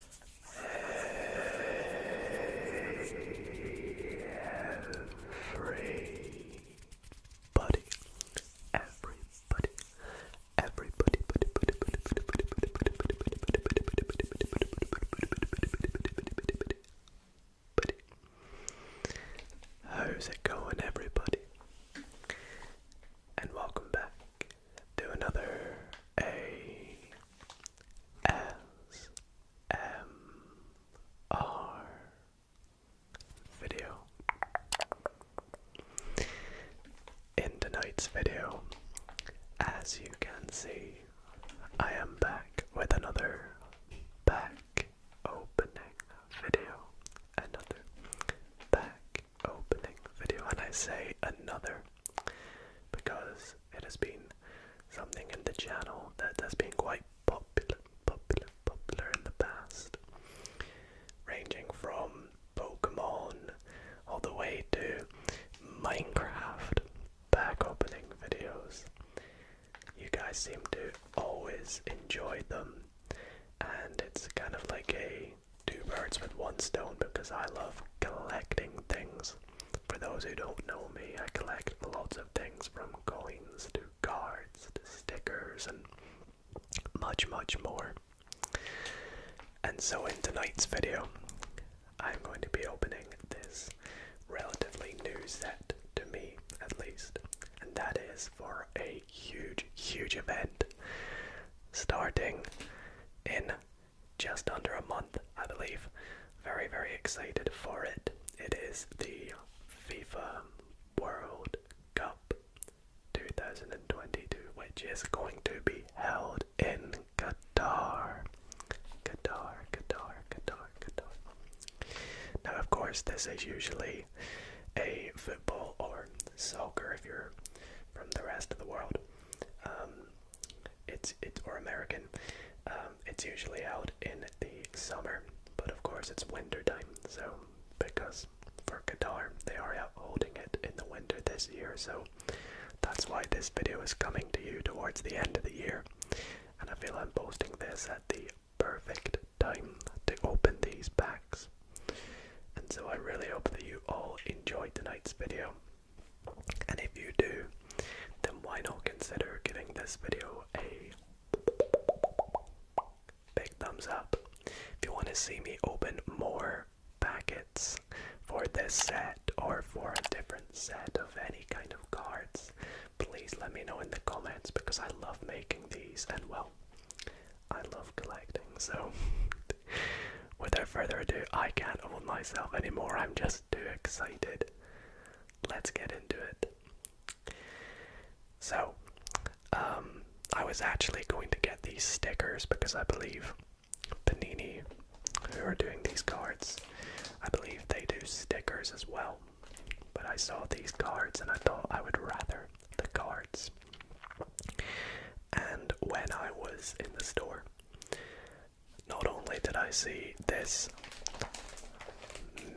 Everybody, everybody, everybody, How's it going, everybody? And welcome back to another A S M R video. In tonight's video, as you can see, I am back with another back opening video. Another back opening video. And I say another because it has been something in the channel that has been quite popular, popular, popular in the past, ranging from Pokemon all the way to Minecraft back opening videos. You guys seem to always enjoy them, and it's kind of like a two birds with one stone because I love collecting things. For those who don't know me, I collect lots of things from coins to cards to stickers and much, much more. And so, in tonight's video, I'm going to be opening this relatively new set to me, at least, and that is for a huge, huge event starting in just under a month, I believe. Very, very excited for it. It is the FIFA World Cup 2022, which is going to be held in Qatar. Qatar, Qatar, Qatar, Qatar. Now, of course, this is usually a football or soccer if you're from the rest of the world. Um, it's it or American. Um, it's usually out in the summer, but of course it's winter time. So because for Qatar they are out holding it in the winter this year, so that's why this video is coming to you towards the end of the year. And I feel I'm posting this at the perfect time to open these packs. And so I really hope that you all enjoyed tonight's video. And if you do, then why not consider giving this video a big thumbs up if you want to see me open more packets for this set or for a different set of any kind of cards please let me know in the comments because i love making these and well i love collecting so Without further ado, I can't hold myself anymore. I'm just too excited. Let's get into it. So, um, I was actually going to get these stickers because I believe Panini, who are doing these cards, I believe they do stickers as well. But I saw these cards and I thought I would rather the cards. And when I was in the store, not only did I see this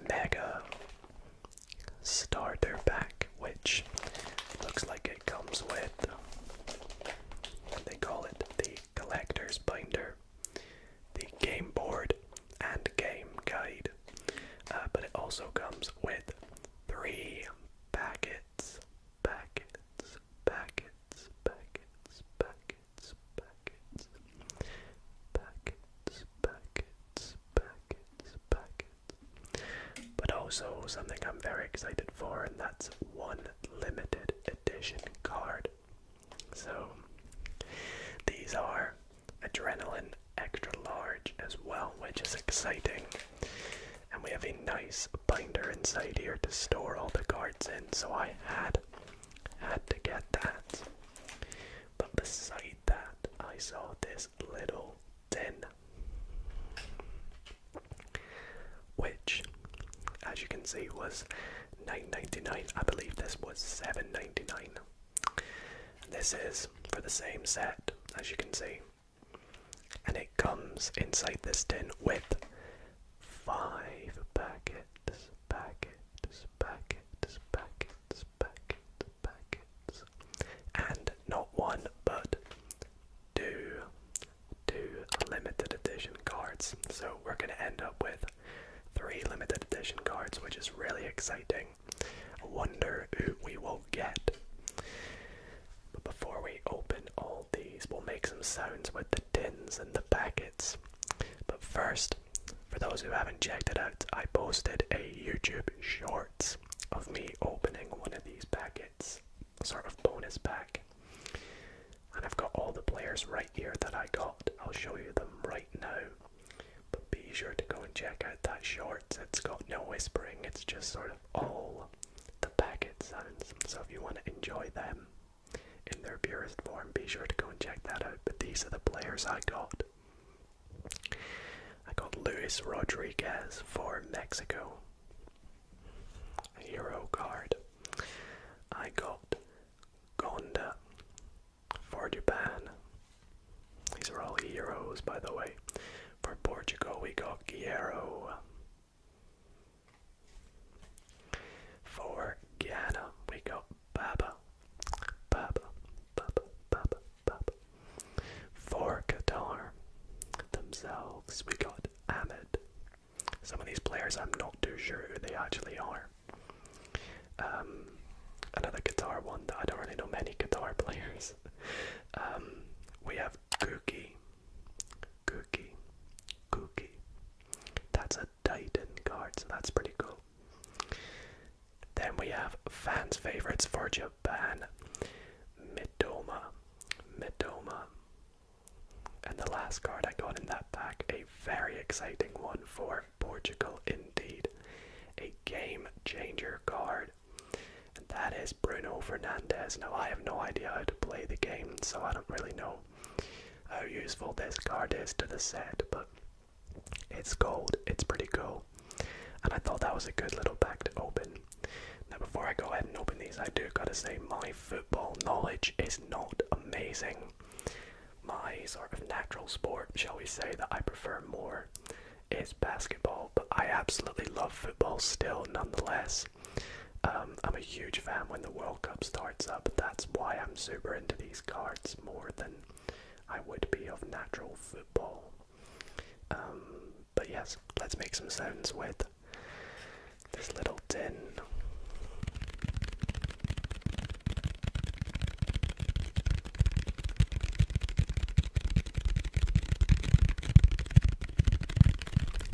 mega starter pack, which looks like it comes with, they call it the collector's binder, the game board, and game guide, uh, but it also comes with three packets, packets, packets packets, packets, packets, packets, packets, packets, packets, packets. But also something I'm very excited for, and that's one limited edition card. So these are adrenaline extra large as well, which is exciting and we have a nice binder inside here to store all the cards in so i had had to get that but beside that i saw this little tin which as you can see was 9.99 i believe this was 7.99 this is for the same set as you can see and comes inside this tin with five packets, packets, packets, packets, packets, packets. And not one, but two, two limited edition cards. So we're going to end up with three limited edition cards, which is really exciting. I wonder who we will get. But before we open all these, we'll make some sounds with the tins and the packets. But first, for those who haven't checked out, I posted a YouTube shorts of me opening one of these packets, sort of bonus pack. And I've got all the players right here that I got. I'll show you them right now. But be sure to go and check out that short. It's got no whispering, it's just sort of all the packet sounds. So if you want to enjoy them, in their purest form. Be sure to go and check that out. But these are the players I got. I got Luis Rodriguez for Mexico, a hero card. I got Gonda for Japan. These are all heroes, by the way. For Portugal, we got Guerrero. For Ghana, we got Baba, Baba, Baba, Baba, Baba. For Qatar themselves, we got Ahmed. Some of these players, I'm not too sure who they actually are. Um, another guitar one I don't really know many guitar players. Um, we have Gookie Cookie. Cookie. That's a Titan card, so that's pretty cool. Then we have fans' favorites for Japan. Midoma. Midoma. And the last card I got in that pack, a very exciting one for Portugal indeed. A game changer card. And that is Bruno Fernandes. Now I have no idea how to play the game, so I don't really know how oh, useful this card is to the set, but it's gold, it's pretty cool. And I thought that was a good little pack to open. Now, before I go ahead and open these, I do gotta say my football knowledge is not amazing. My sort of natural sport, shall we say, that I prefer more is basketball, but I absolutely love football still nonetheless. Um, I'm a huge fan when the World Cup starts up. That's why I'm super into these cards more than I would be of natural football. Um, but yes, let's make some sounds with this little tin.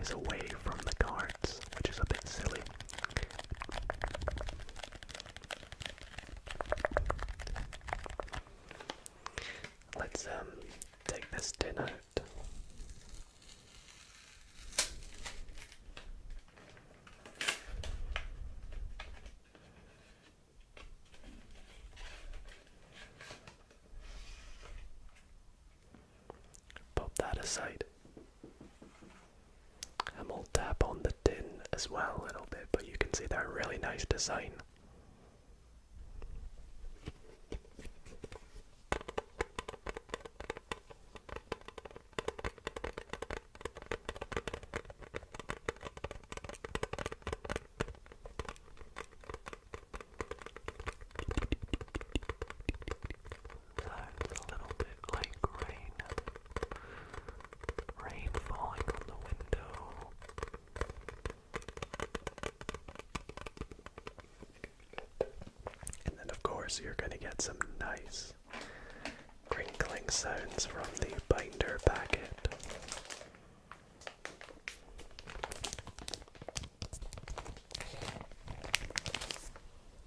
is away from the cards, which is a bit silly. Let's um take this tin out. Pop that aside. And we'll tap on the tin as well a little bit, but you can see that really nice design sounds a little bit like rain. Rain falling from the window. And then, of course, you're going to get some nice crinkling sounds from the binder packet.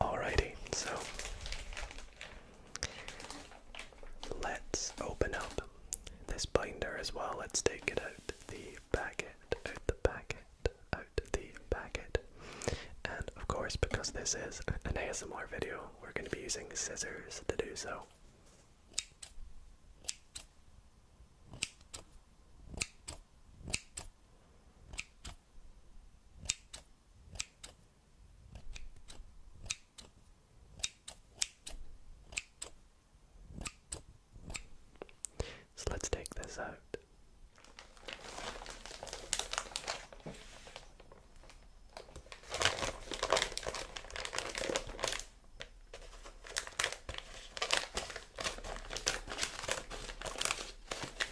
Alrighty, so let's open up this binder as well. Let's take it out the packet, out the packet, out the packet. And of course, because this is an ASMR video, we're going to be using scissors to do so. So let's take this out.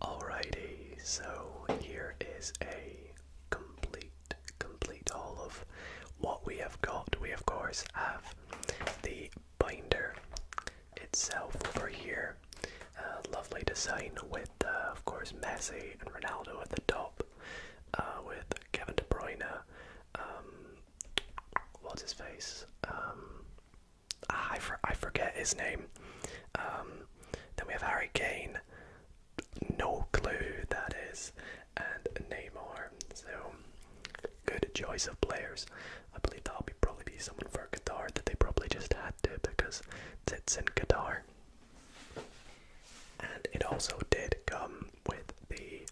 Alrighty, so here is a complete, complete haul of what we have got. We, of course, have the binder itself over here. Uh, lovely design with, uh, of course, Messi and Ronaldo at the top, uh, with Kevin De Bruyne. Um, what's his face? Um, ah, I, for I forget his name. Um, then we have Harry Kane. No clue that is, and Neymar. So good choice of players. I believe i will be probably be someone for guitar that they probably just had to because it's in guitar. And it also did come with the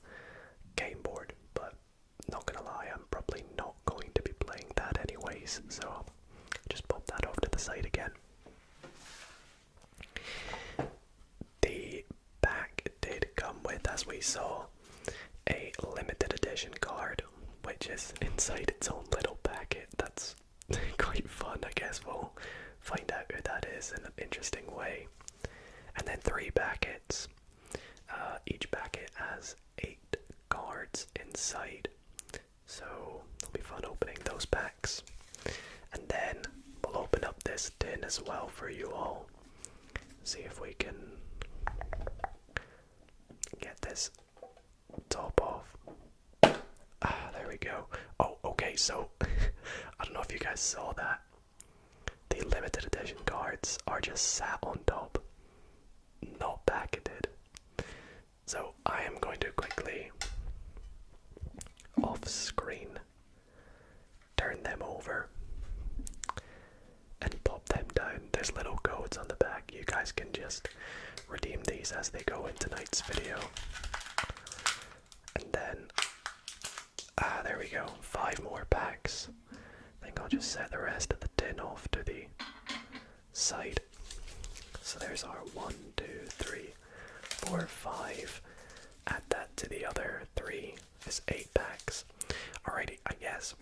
game board, but not gonna lie, I'm probably not going to be playing that anyways, so I'll just pop that off to the side again. The pack did come with, as we saw, a limited edition card, which is inside its own little packet. That's quite fun, I guess. We'll find out who that is in an interesting way. And then three packets. Uh, each packet has eight cards inside, so it'll be fun opening those packs. And then we'll open up this tin as well for you all see if we can get this top off. Ah, there we go. Oh, okay, so I don't know if you guys saw that. The limited edition cards are just sat on top, not packeted. So I am going to quickly off screen turn them over, and pop them down. There's little codes on the back. You guys can just redeem these as they go in tonight's video. And then, ah, there we go. Five more packs. I think I'll just set the rest of the tin off to the side. So there's our one, two, three, four, five. Add that to the other three. It's eight packs. Alrighty, I guess.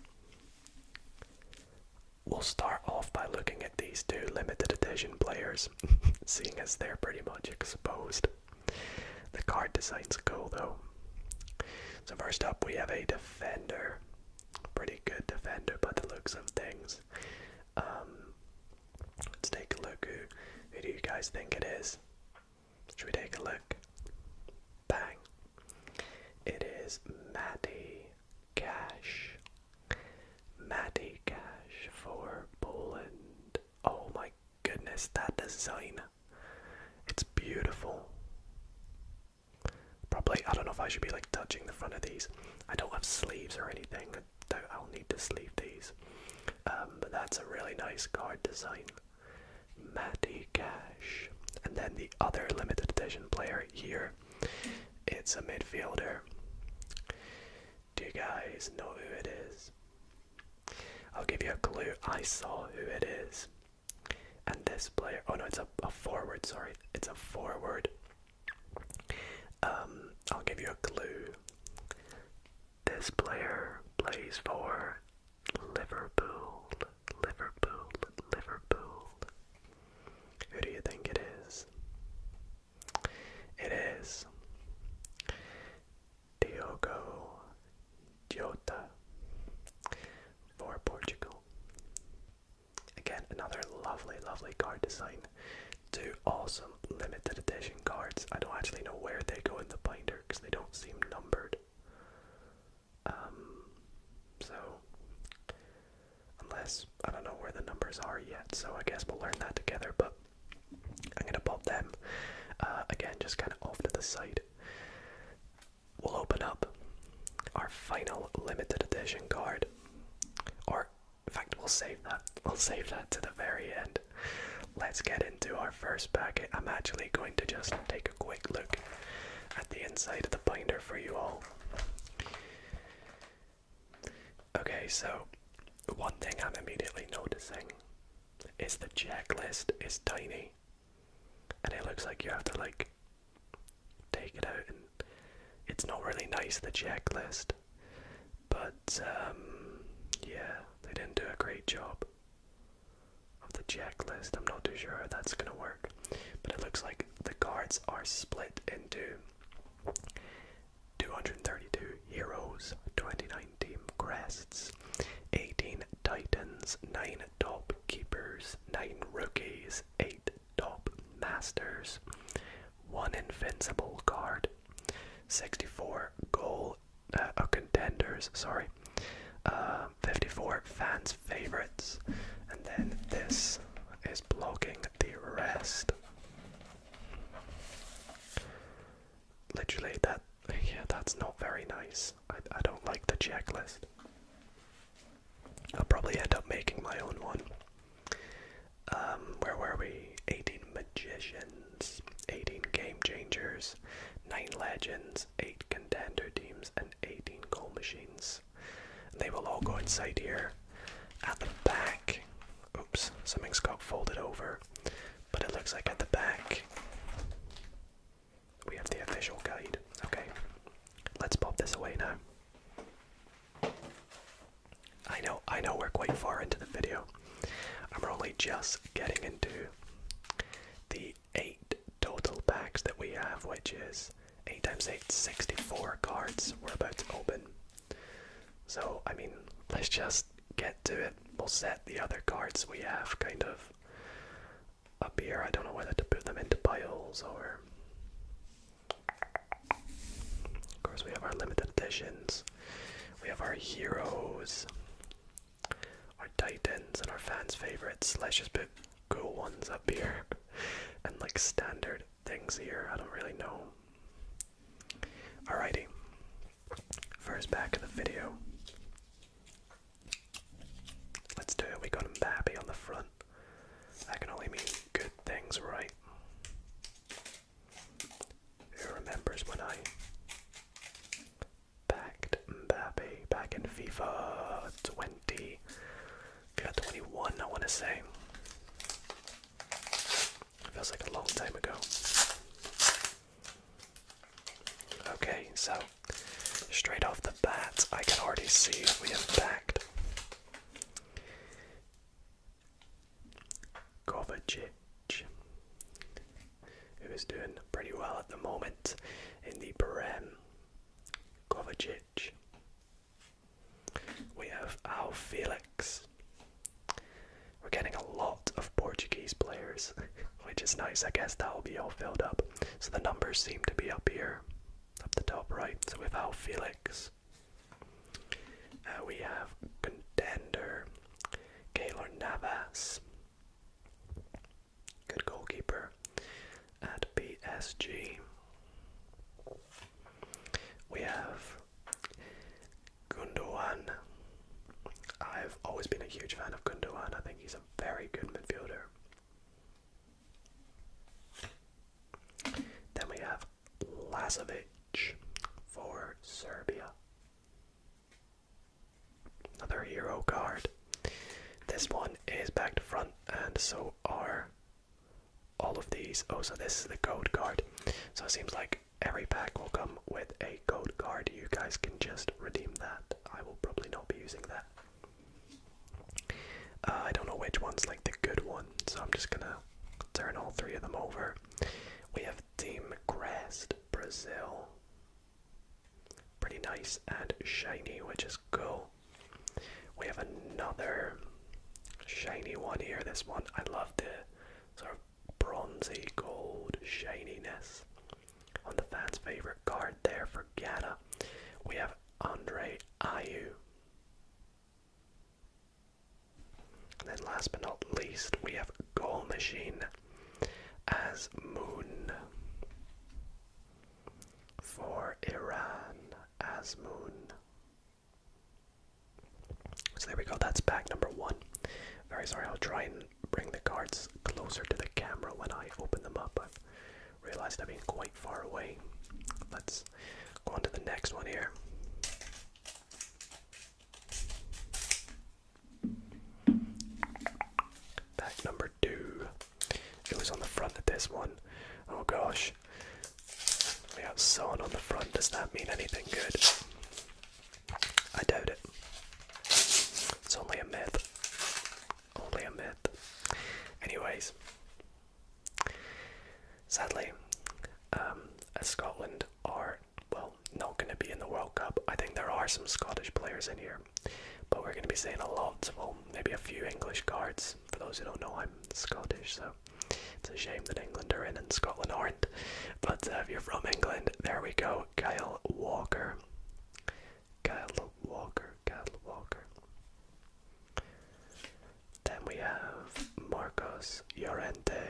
We'll start off by looking at these two limited edition players, seeing as they're pretty much exposed. The card design's cool though. So, first up, we have a defender. Pretty good defender by the looks of things. Um, let's take a look. who do you guys think it is? Should we take a look? Bang. It is Matty Cash. Matty Cash for Poland. Oh my goodness, that design. It's beautiful. Probably, I don't know if I should be like touching the front of these. I don't have sleeves or anything. I don't, I'll need to sleeve these. Um, but that's a really nice card design. Matty Cash. And then the other limited edition player here, it's a midfielder. Do you guys know who it is? I'll give you a clue. I saw who it is. And this player, oh no, it's a, forward, sorry, it's a forward. Um, I'll give you a clue. This player plays for Liverpool, Liverpool, Liverpool. Who do you think it is? It is Diogo Jota for Portugal. Again, another lovely, lovely card design. Two awesome limited edition cards. I don't actually know where they go in the binder because they don't seem numbered. Um, so, unless I don't know where the numbers are yet, so I guess we'll learn that together. But I'm gonna pop them uh, again, just kind of off to the side. We'll open up our final limited edition card, or in fact, we'll save that. We'll save that to the very end. Let's get it into our first packet, I'm actually going to just take a quick look at the inside of the binder for you all. Okay, so one thing I'm immediately noticing is the checklist is tiny, and it looks like you have to like take it out, and it's not really nice the checklist. But um, yeah, they didn't do a great job of the checklist. I'm not too sure how that's going to work, but it looks like the cards are split into 232 heroes, 29 team crests, 18 titans, 9 top keepers, 9 rookies, 8 top masters, 1 invincible card, 64 goal uh, uh, contenders, sorry. Uh, 54 fans' favorites, and then this is blocking the rest. Literally, that yeah, that's not very nice. I, I don't like the checklist. I'll probably end up making my own one. Um, where were we? 18 magicians, 18 game changers, 9 legends, 8 contender teams, and 18 coal machines. they will all go inside here. At the back, oops, something's got folded over, but it looks like at the back we have the official guide. Okay, let's pop this away now. I know, I know we're quite far into the video. I'm only just getting into the eight total packs that we have, which is 8 times 8, 64 cards we're about to open. So, I mean, let's just get to it. We'll set the other cards we have kind of up here. I don't know whether to put them into piles or. Of course, we have our limited editions, we have our heroes, our Titans and our fans' favorites. Let's just put good ones up here and like standard things here. I don't really know. Alrighty, first back of the video. Let's do it. We got a Mbappe on the front. That can only mean good things, right? Who remembers when I backed Mbappe back in FIFA 20, FIFA 21, I want to say. Feels like a long time ago. Okay, so straight off the bat, I can already see we have backed Kovacic, who is doing pretty well at the moment in the Prem. Kovacic. We have our Felix. We're getting a lot of Portuguese players, which is nice. I guess that will be all filled up. So the numbers seem to be up here, up the top right. So we have Felix. Uh, we have contender Gaylor Navas. Good goalkeeper at PSG. We have Gundogan. I've always been a huge fan of Gundogan. I think he's a very good midfielder. Then we have Lazovic for Serbia. Another hero card. This one is back to front, and so are all of these. Oh, so this is the code card. So it seems like every pack will come with a code card. You guys can just redeem that. I will probably not be using that. Uh, I don't know which one's like the good one, so I'm just gonna turn all three of them over. We have Team Crest, Brazil, Pretty nice and shiny, which is cool. We have another shiny one here. This one, I love the sort of bronzy gold shininess on the fans' favorite card there for Ghana. We have Andre Ayu. And then last but not least, we have Goal Machine as moon. For Iran as moon. So there we go, that's pack number one. Very sorry, I'll try and bring the cards closer to the camera when I open them up. I've realized I've been quite far away. Let's go on to the next one here. Pack number two. It was on the front of this one. Oh gosh. We have Son on the front. Does that mean anything good? I doubt it. It's only a myth. Only a myth. Anyways, sadly, um, Scotland are, well, not going to be in the World Cup, I think there are some Scottish players in here. But we're going to be seeing a lot, well, maybe a few English guards. For those who don't know, I'm Scottish, so it's a shame that England are in and Scotland aren't. But uh, if you're from England, there we go. Kyle Walker. Kyle Walker, Kyle Walker. Then we have Marcos Llorente.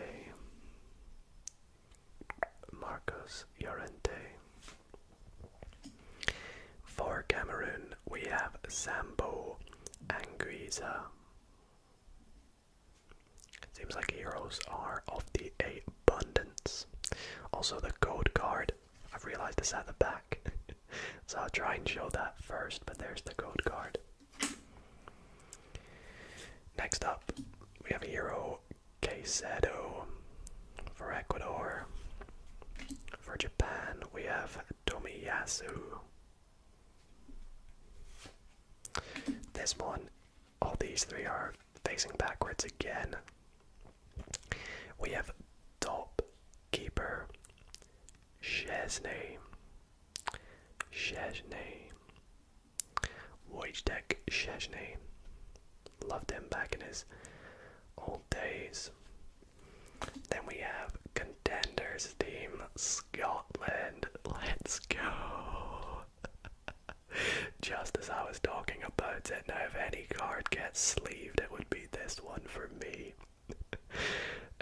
Marcos Llorente. For Cameroon, we have Sambo Anguissa. Seems like heroes are of the abundance. Also, the code card. I've realized this at the back. so I'll try and show that first, but there's the code card. Next up, we have a hero Quesado for Ecuador. For Japan, we have Tomiyasu. This one, all these three are facing backwards again. We have Top Keeper, Chesney, Chesney, Wojtek Chesney. Love them back in his old days. Then we have Contenders Team Scotland. Let's go. Just as I was talking about it, now if any card gets sleeved, it would be this one for me.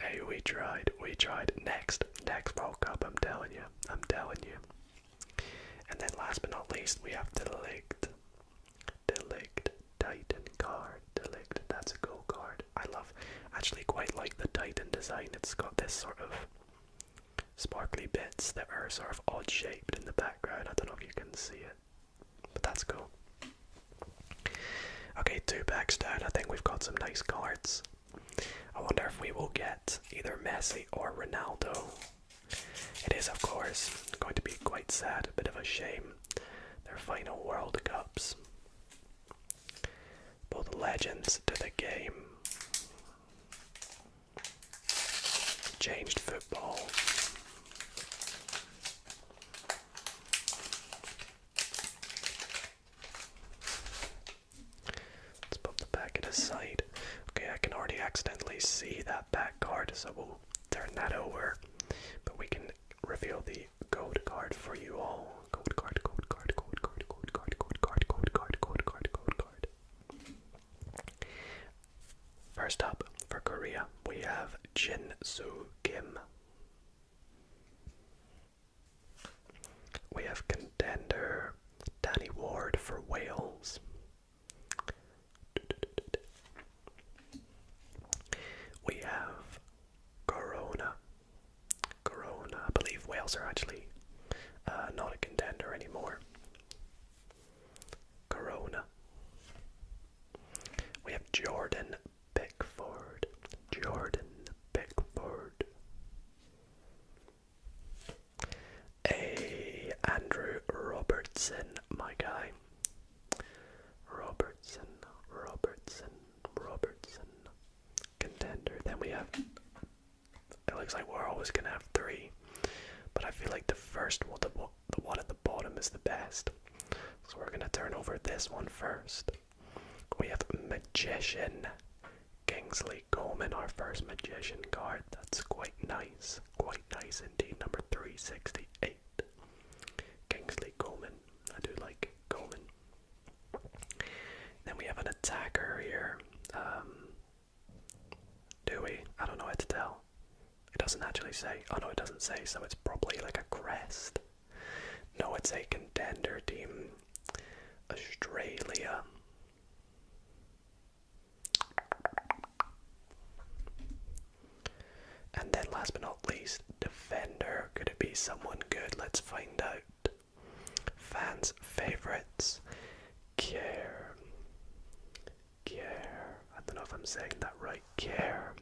hey, we tried, we tried. Next, next World Cup, I'm telling you, I'm telling you. And then last but not least, we have Delict. Delict, Titan card, Delict. That's a cool card. I love, actually quite like the Titan design. It's got this sort of sparkly bits that are sort of odd shaped in the background. I don't know if you can see it, but that's cool. Okay, two packs down. I think we've got some nice cards. I wonder if we will get either Messi or Ronaldo it is, of course, going to be quite sad, a bit of a shame. Their final World Cups. Both legends to the game. Changed football. Let's pop the back it aside. Okay, I can already accidentally see that back card, so we'll turn that over. But we can reveal the gold card for you all. Gold card, gold card, gold card, gold card, gold card, gold card, gold card, gold card. First up for Korea, we have Jin Soo Kim. We have contender Danny Ward for Wales. We have Corona. Corona. I believe Wales are actually uh, not a contender anymore. Corona. We have Jordan Pickford. Jordan Pickford a Andrew Robertson, my guy. Robertson, Robertson, Robertson. Contender. Then we have. It looks like we're always gonna have three, but I feel like the first one, the, one at the bottom, is the best. So we're gonna turn over this one first. We have Magician, Kingsley Coleman, our first Magician card. That's quite nice quite nice indeed. Number 368. Kingsley Coleman. I do like Coleman. Then we have an attacker here. Um, do we? I don't know what to tell. It doesn't actually say. Oh no, it doesn't say, so it's probably like a crest. No, it's a contender team. Australia. And then, last but not least, defender. Could it be someone good? Let's find out. Fans' favorites. Care. Care. I don't know if I'm saying that right. Care.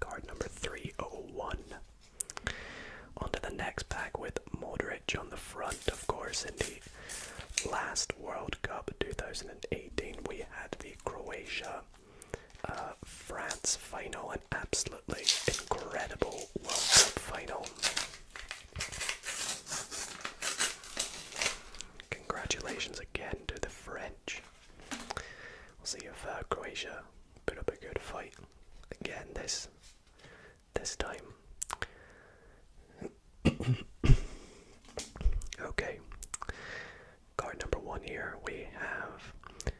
Card number 301. On the next pack with Modric on the front, of course, in last World Cup 2018, we had the Croatia uh, France final, an absolutely incredible World Cup final. Congratulations again to the French. We'll see if uh, Croatia put up a good fight. Again, this this time. okay. Card number one here we have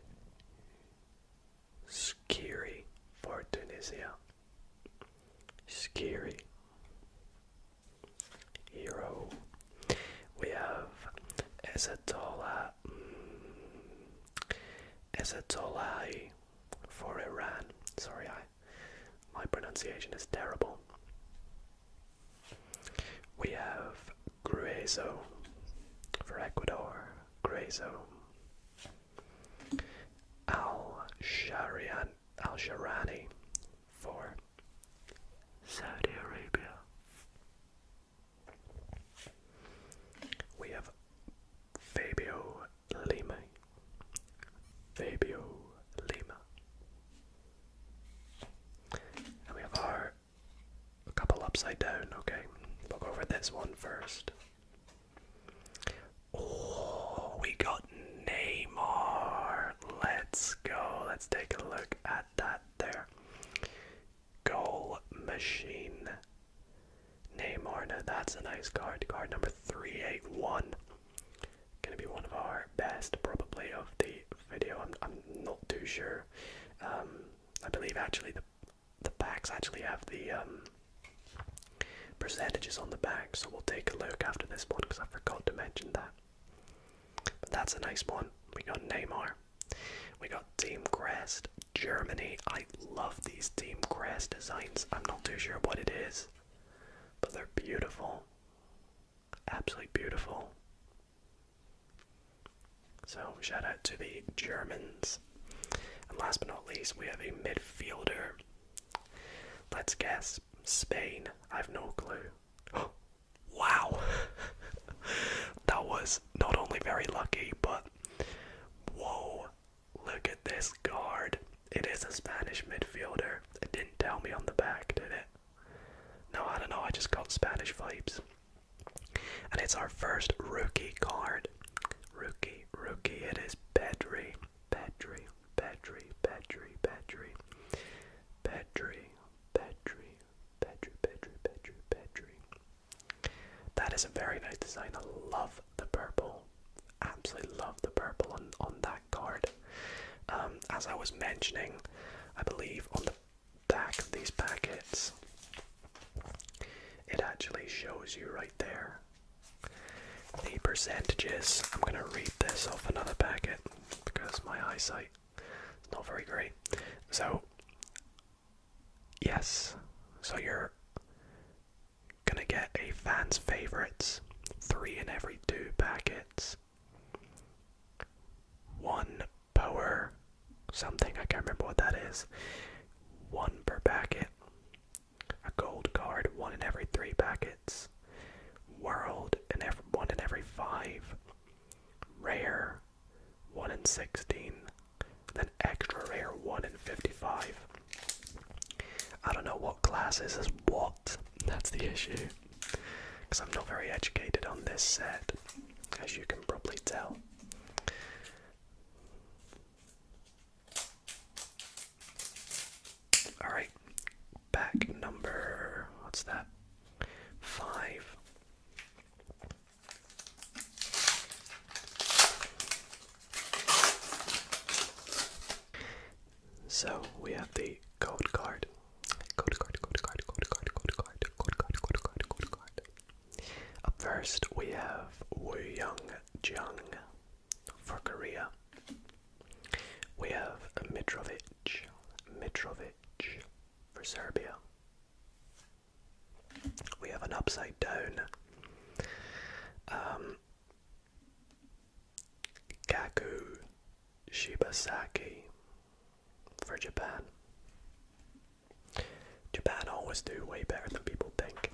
scary for Tunisia. Scary Hero. We have Ezatola mm, Ezatolai for Iran. Sorry, I my pronunciation is terrible. We have Grueso for Ecuador, Grueso. Al Sharian Al Sharani for Saudi Arabia. We have Fabio Lima. Fabio Lima. we have our a couple upside down, okay. We'll go over this one first. Oh, we got Neymar. Let's go. Let's take a look at that there. Goal machine. Neymar. that's a nice card. Card number 381. Gonna be one of our best, probably, of the video. I'm, not too sure. Um, I believe actually the the packs actually have the um, percentages on the back, so we'll take a look after this one because I forgot to mention that. But that's a nice one. We got Neymar. We got Team Crest, Germany. I love these Team Crest designs. I'm not too sure what it is but they're beautiful. Absolutely beautiful. So, shout out to the Germans. And last but not least, we have a midfielder. Let's guess Spain. I've no clue. wow! that was not only very lucky, but whoa, Look at this guard. It is a Spanish midfielder. It didn't tell me on the back, did it? No, I don't know. I just got Spanish vibes. And it's our first rookie card. Rookie, rookie. It is Pedri. Pedri, Pedri, Pedri, Pedri. Pedri, Pedri, Pedri, Pedri, Pedri, Pedri. That is a very nice design. I love the purple. Absolutely love the purple on, on that card. Um, as I was mentioning, I believe on the back of these packets, it actually shows you right there the percentages. I'm going to read this off another packet because my eyesight is not very great. So, yes, so you're. Gonna get a fan's favourites, three in every two packets. One power something, I can't remember what that is. One per packet. A gold card, one in every three packets. World and every one in every five. Rare, one in sixteen. Then extra rare, one in fifty-five. I don't know what classes is what. That's the issue. Because I'm not very educated on this set, as you can probably tell. Alright, back number. What's that? Five. So we have the code card. Code card, code card, code card, code card, code card, code card, code card. Up first we have Wu Young Jung for Korea. We have Mitrovic, Mitrovic for Serbia. We have an upside down. Um, Gaku Shibasaki for Japan. Japan always do way better than people think.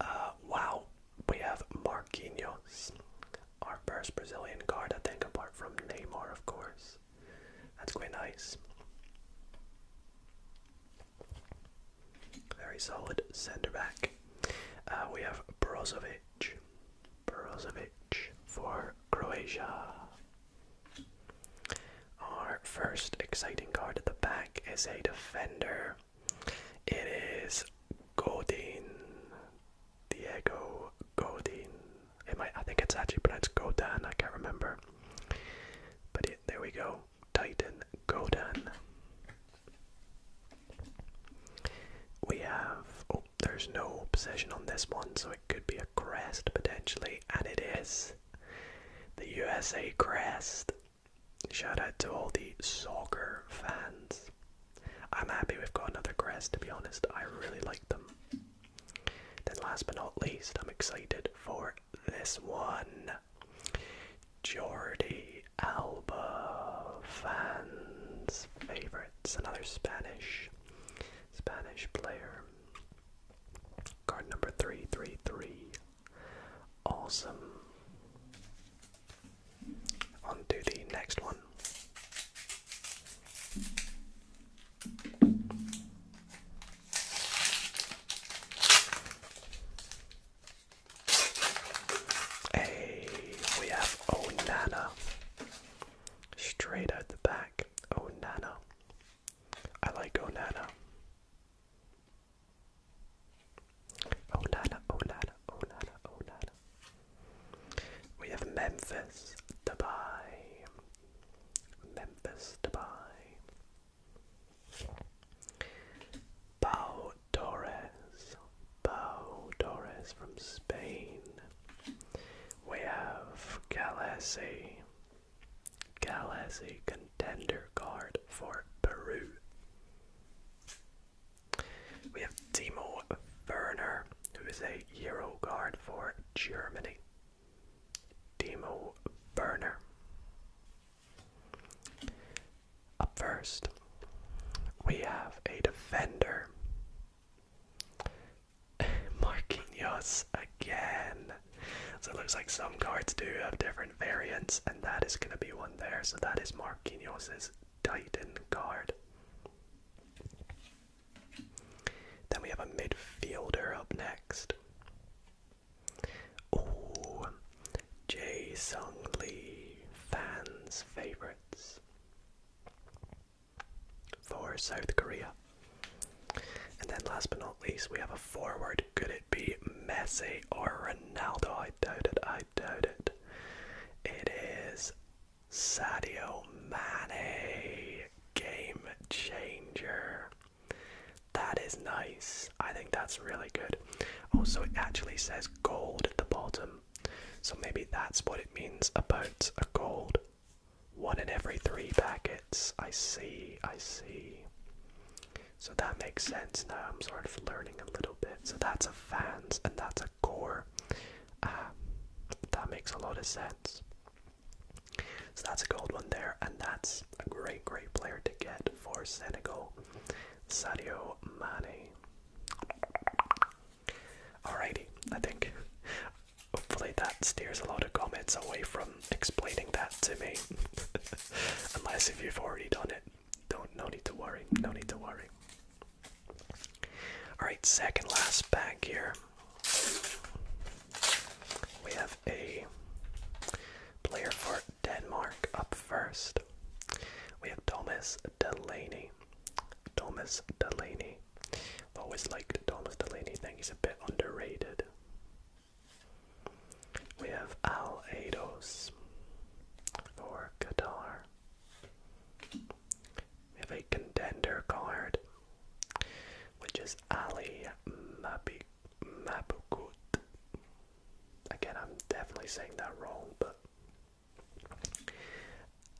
Uh, wow, we have Marquinhos, our first Brazilian card, I think, apart from Neymar, of course. That's quite nice. Very solid centre back. Uh, we have Brozovic. Brozovic for Croatia. Our first exciting card at the back is a defender. It is Godin. Diego Godin. I think it's actually pronounced Godan, I can't remember. But there we go. Titan Godan. We have, oh, there's no possession on this one, so it could be a crest potentially, and it is the USA crest. Shout out to all the soccer fans. I'm happy we've got another crest, to be honest. I really like them. Then, last but not least, I'm excited for this one. Jordi Alba, fans' favorites, another Spanish Spanish player. Card number three, three, three. Awesome. On to the next one. Hey, we have Onana. Straight out the back. Oh Onana. I like Onana. Onana, Onana, Onana, Onana. We have Memphis, Dubai. Memphis, Dubai. Pau Torres. Pau Torres from Spain. We have Galassi, Galassi contender guard for Peru. We have Timo Werner, who is a Euro guard for Germany. Timo Werner. Up first, we have a defender. Marquinhos again. So it looks like some cards do have different variants, and that is going to be one there. So that is Marquinhos' Titan card. Then we have a midfielder up next. Jae Sung Lee, fans' favorites. For South Korea. And then last but not least, we have a forward. Could it be Messi or Ronaldo? I doubt it. I doubt it. It is Sadio Mane, game changer. That is nice. I think that's really good. Also, it actually says gold at the bottom, so maybe that's what it means about a gold. One in every three packets. I see, I see. So that makes sense now. I'm sort of learning a little bit. So that's a fans and that's a core. Ah, that makes a lot of sense. So that's a gold one there, and that's a great, great player to get for Senegal, Sadio Mane. Alrighty, I think hopefully that steers a lot of comments away from explaining that to me. Unless if you've already done it, don't no need to worry, no need to worry. Alright, second last bag here. We have a player for Denmark up first. We have Thomas Delaney. Thomas Delaney. always liked Thomas Delaney. I think he's a bit underrated. We have Al Ados for Qatar. We have a contender card, which is Ali Mabukut. Again, I'm definitely saying that wrong, but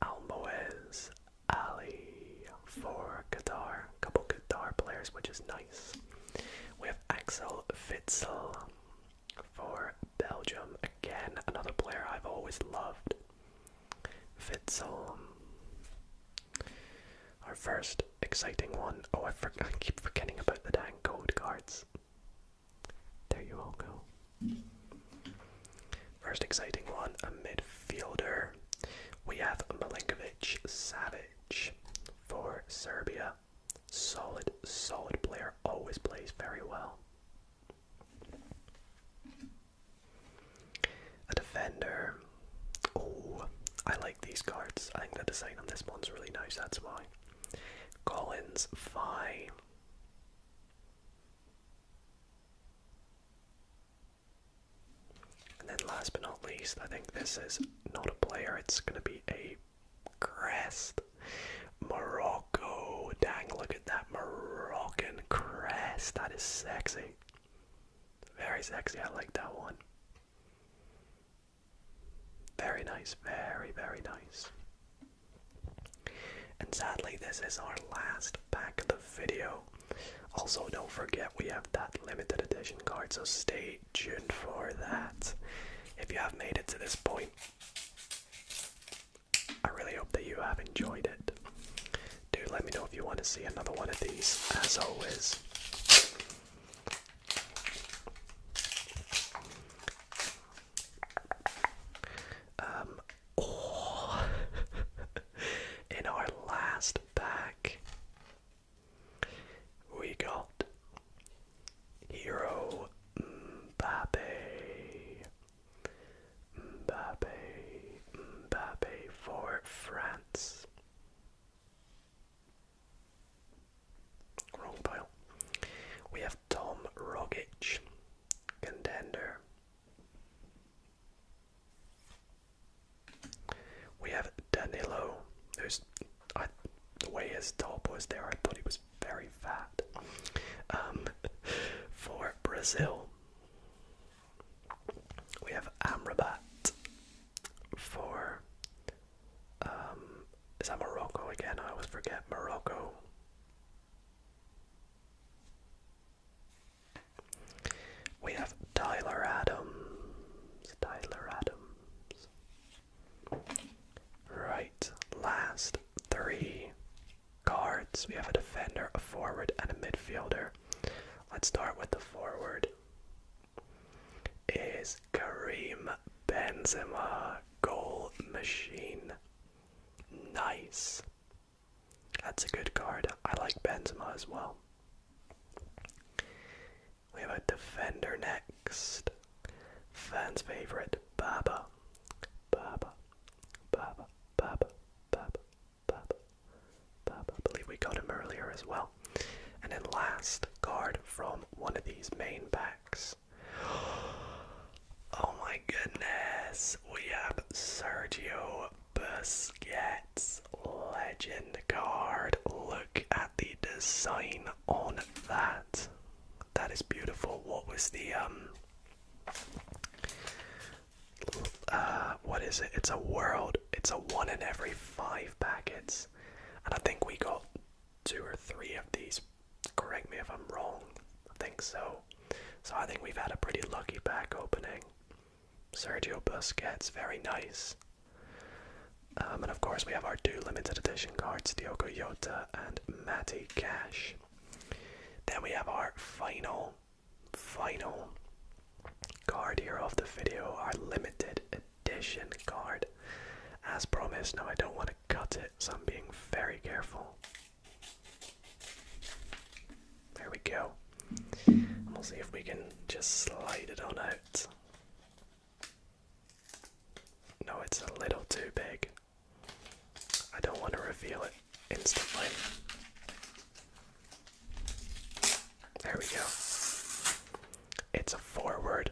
Almoez Ali for Qatar, couple guitar players, which is nice. We have Axel Witsel for Belgium, again another player I've always loved. Witsel, our first exciting one. Oh, I, keep forgetting about the dang gold cards. There you all go. First exciting one, a midfielder. We have Milinkovic Savic for Serbia. Solid, solid player, always plays very well. A defender. Oh, I like these cards. I think the design on this one's really nice, that's why. Collins, Phi, and then last but not least, I think this is not a player, it's gonna be a crest. Morocco. Dang, look at that Moroccan crest. That is sexy. Very sexy, I like that one. Very nice, very, very nice. And sadly, this is our last pack of the video. Also, don't forget we have that limited edition card, so stay tuned for that. If you have made it to this point, I really hope that you have enjoyed it. Do let me know if you want to see another one of these, as always. Um, oh. in our last pack, we got Hero Mbappe. Mbappe, Mbappe for France. Wrong pile. We have Tom Rogic, contender. We have Danilo, who's the way his top was there, I thought he was very fat. Um, for Brazil, we have Amrabat for um, is that Morocco again? I always forget Morocco. We have Tyler Adams. Tyler Adams. Right, last three cards. We have a defender, a forward, and a midfielder. Let's start with the forward. Is Kareem Benzema. Goal Machine. Nice. That's a good card. I like Benzema as well. We have a defender next. Fans' favorite, Baba. Baba. Baba. Baba. Baba. Baba. Baba. I believe we got him earlier as well. And then last card from one of these main packs. Oh my goodness, we have Sergio Busquets legend card. Look at the design on that. That is beautiful. What was the um uh, what is it? It's a world. It's a one in every five packets. And I think we got two or three of these Correct me if I'm wrong. I think so. So I think we've had a pretty lucky back opening. Sergio Busquets, very nice. Um, and of course, we have our two limited edition cards Diogo Yota and Matty Cash. Then we have our final, final card here of the video, our limited edition card. As promised, now I don't want to cut it, so I'm being very careful. There we go. And we'll see if we can just slide it on out. No, it's a little too big. I don't want to reveal it instantly. There we go. It's a forward.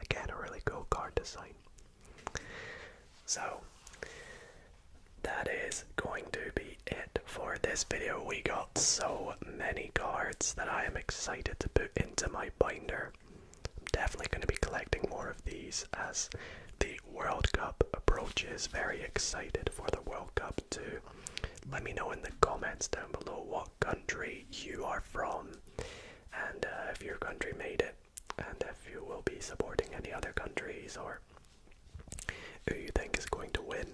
Again, a really cool card design. So, that is going to be it for this video. We got so many cards that I am excited to put into my binder. I'm definitely going to be collecting more of these as the World Cup approaches. Very excited for the World Cup too. Let me know in the comments down below what country you are from and uh, if your country made it and if you will be supporting any other countries or who you think is going to win.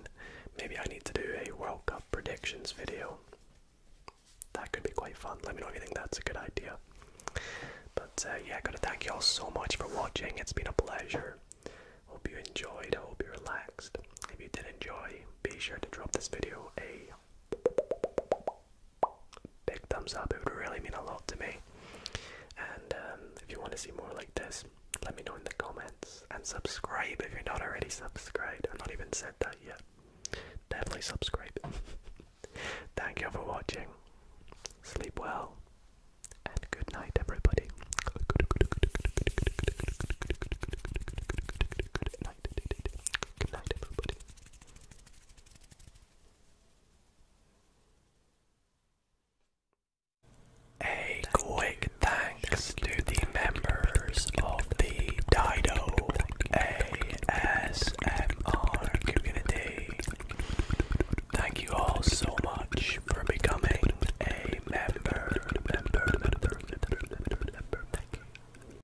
Maybe I need to do a World Cup predictions video. That could be quite fun. Let me know if you think that's a good idea. But uh, yeah, gotta thank you all so much for watching. It's been a pleasure. Hope you enjoyed. hope you relaxed. If you did enjoy, be sure to drop this video a big thumbs up. It would really mean a lot to me. And um, if you want to see more like this, let me know in the comments and subscribe if you're not already subscribed. I've not even said that yet. Definitely subscribe. Thank you for watching. Sleep well and good night, everybody. Good night, everybody. A quick thanks to the members of the Dido ASMR community. Thank you all so much for becoming a member.